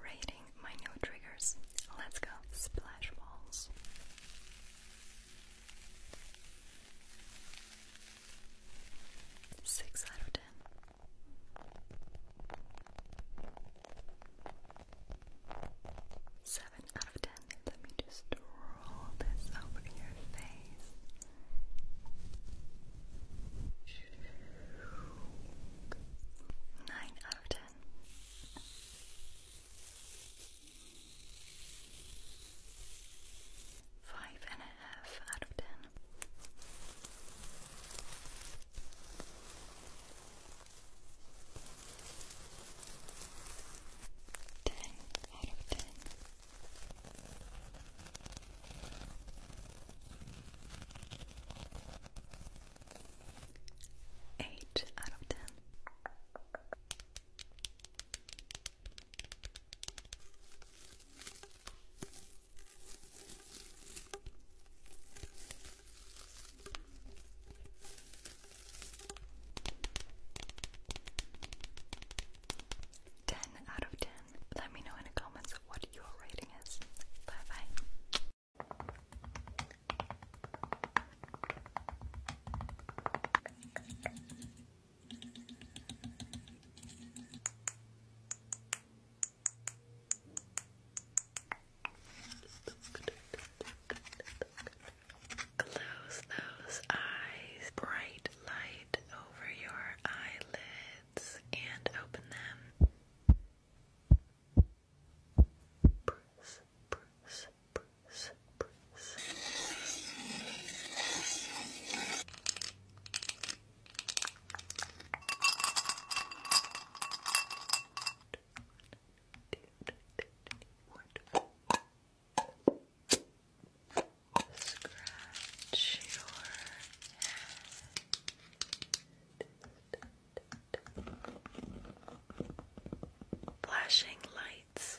Rating my new triggers. Let's go. Splash balls. Six out of ten. Seven out of ten. Let me just roll this over your face. Nine mountain. Five and a half out of ten. Ten out of ten. 8 out of 10. Ten out of ten. Let me know in the comments what your rating is. Bye bye. Close those eyes. Bright light over your eyelids and open them press, press, press, press. Scratch your head flashing lights.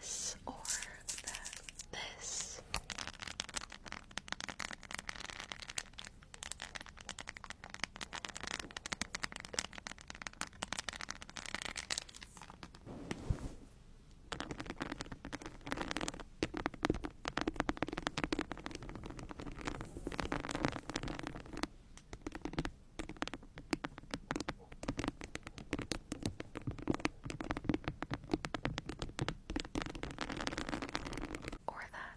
This or the this. Or that.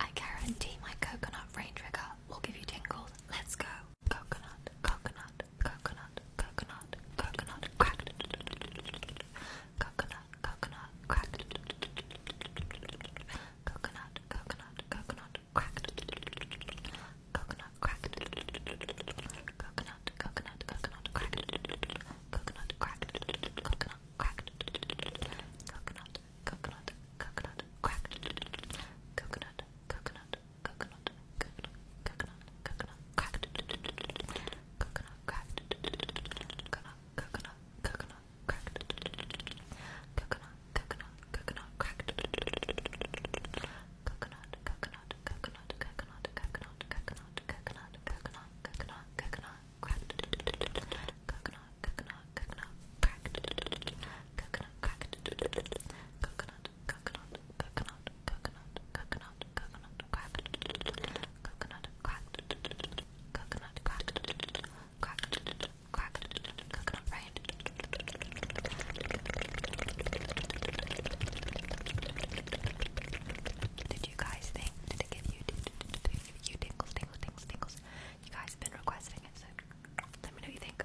I guarantee my coconut rain trigger will give you tingles. Let's go. Coconut, coconut, coconut, coconut, coconut, cracked. Coconut, coconut, cracked. Coconut, coconut, coconut, cracked. Coconut, cracked. Coconut, coconut, coconut, cracked. Coconut, cracked. Coconut, cracked coconut, coconut, coconut, cracked coconut, coconut, coconut, coconut, coconut, coconut, cracked coconut, cracked coconut, coconut, coconut, cracked coconut, coconut, coconut, cracked coconut, coconut, coconut, coconut, coconut, coconut, coconut, coconut, coconut, coconut, coconut, cracked coconut, coconut, coconut, cracked coconut, cracked coconut, coconut, coconut, coconut, coconut, coconut, cracked coconut, cracked coconut, cracked cracked cracked coconut, right? Did you guys think? Did it give you? you tingles, tingles, tingles, tingles. You guys have been requesting it, so let me know what you think.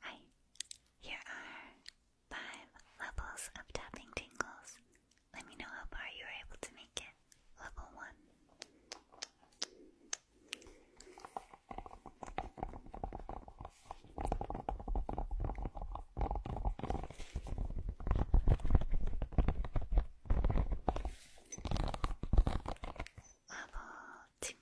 Hi. Here are five levels of tapping tingles. Let me know how far you were able to make it. Level one. 아버지 Level three.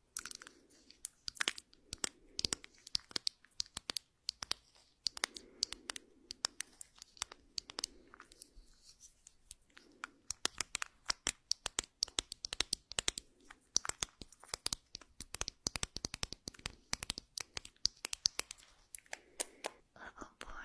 Level oh, four.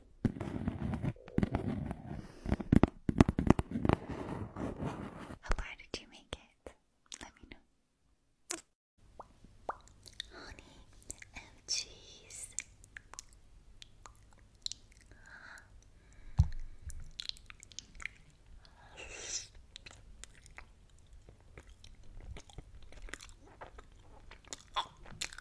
How far did you make it? Let me know. Honey and cheese.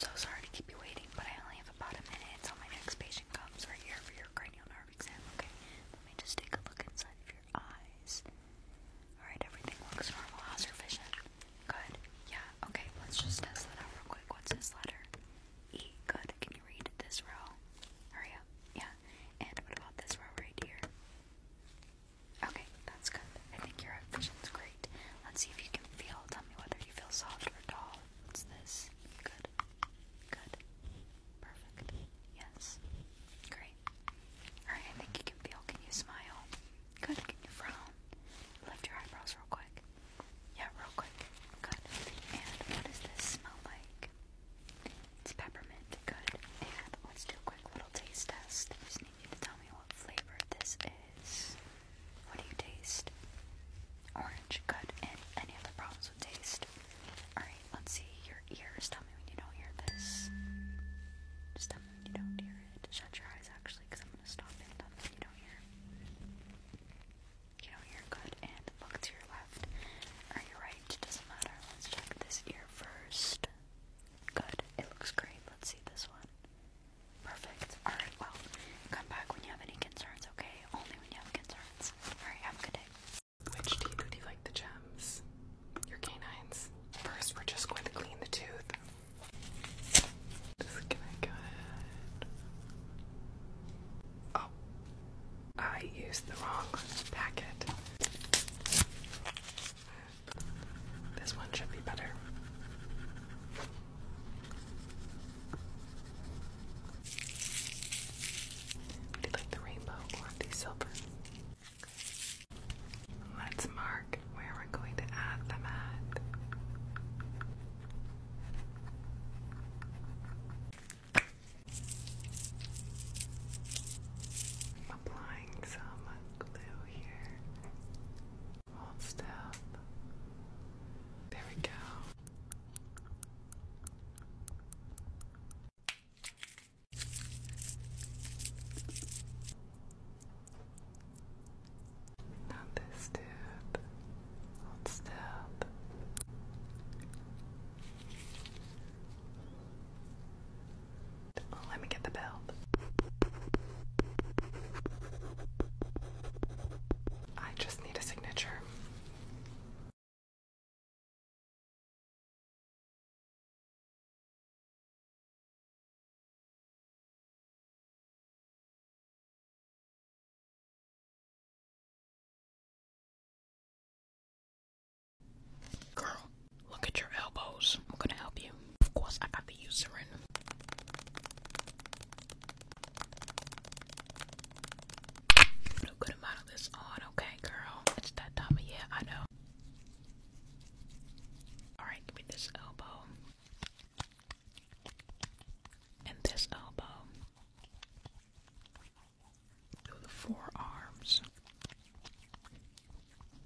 So sorry to keep you waiting, but I only have about a minute until my next patient comes right here for your cranial nerve exam, okay? Let me just take a look inside of your eyes. Alright, everything looks normal. How's your vision? Good. Yeah. Okay. Let's just test that out real quick. What's this letter? E. Good. Can you read this row? Hurry up. Yeah. And what about this row right here? Okay. That's good. I think your vision's great. Let's see if you can feel. Tell me whether you feel soft or tall. What's this? Good. Good. Perfect. Yes. Great. Alright, I think you can feel. Can you smile? Good. Can you frown? Lift your eyebrows real quick. Yeah, real quick. Good. And what does this smell like? It's peppermint. Good. And let's do a quick little taste test. just need you to tell me what flavor this is. What do you taste? Orange. Good. And any other problems with taste? Alright, let's see your ears. Tell me when you don't hear this. Just when you don't hear it. Shut your eyes, actually because I'm gonna stop it you don't hear. You don't hear good. And look to your left or your right. Doesn't matter. Let's check this ear first. Good. It looks great. Let's see this one. Perfect. Alright, well, come back when you have any concerns, okay? Only when you have concerns. Alright, have a good day. Which teeth would you like the gems? Your canines? First, we're just going to clean the tooth just gonna go ahead. Oh, I used the wrong packet. This one should be better. I like the rainbow or the silver. Let's mark where we're going to add them at. applying some glue here. Hold still. There we go. Not this dude. What's that? Oh, let me get the bell. I just need a signature. Girl, look at your elbows. I'm gonna help you. Of course, I got the Eucerin. Put a good amount of this on, okay, girl? It's that time of I know. Alright, give me this elbow. And this elbow. Through the forearms.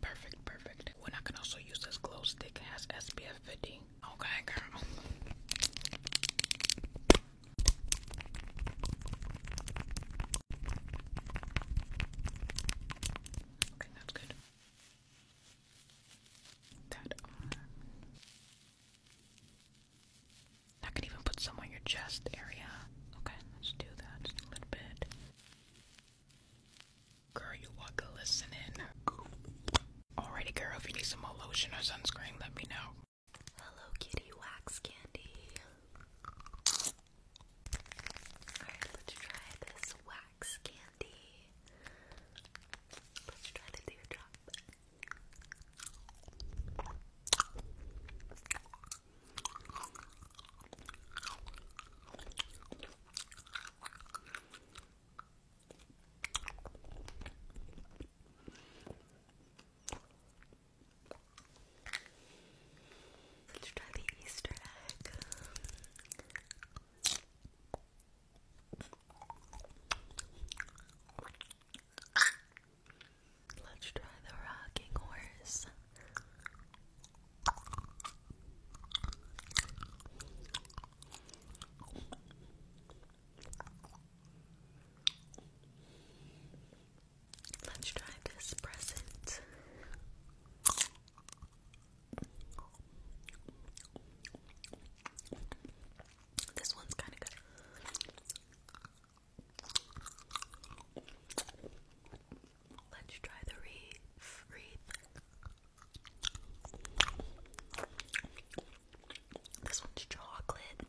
Perfect, perfect. When I can also use this glow stick, it has SPF 50. Okay, girl. Okay, that's good that on. I can even put some on your chest area. Okay, let's do that a little bit. Girl, you are glistening. Alrighty, girl, if you need some more lotion or sunscreen, let me know. Hello, kitty wax candy. Alright, let's try this wax candy. Let's try the teardrop. Let's try the Easter egg. Let's try the rocking horse. Let's try this present. This one's kind of good. Let's try the wreath. This one's chocolate.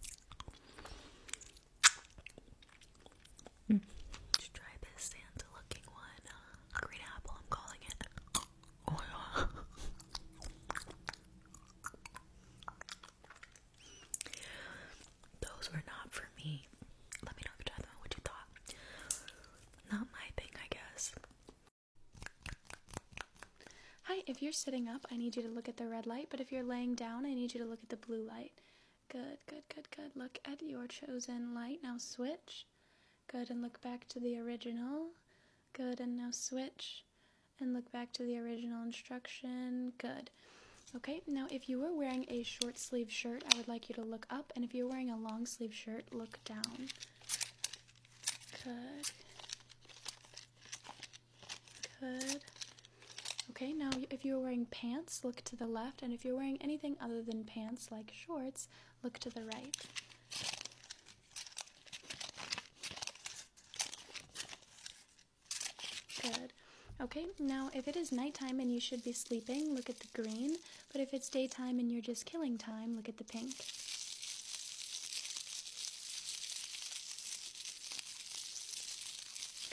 Mm. Just try this Santa looking one. Uh, green apple, I'm calling it. Oh my Those were not for me. Let me know if you tried them what you thought. Not my thing, I guess. Hi, if you're sitting up, I need you to look at the red light, but if you're laying down, I need you to look at the blue light. Good, good, good, good. Look at your chosen light. Now switch. Good, and look back to the original. Good, and now switch. And look back to the original instruction. Good. Okay, now if you were wearing a short sleeve shirt, I would like you to look up, and if you're wearing a long sleeve shirt, look down. Good. Good. Okay, now if you're wearing pants, look to the left, and if you're wearing anything other than pants, like shorts, look to the right. Good. Okay, now if it is nighttime and you should be sleeping, look at the green. But if it's daytime and you're just killing time, look at the pink.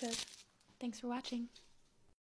Good. Thanks for watching.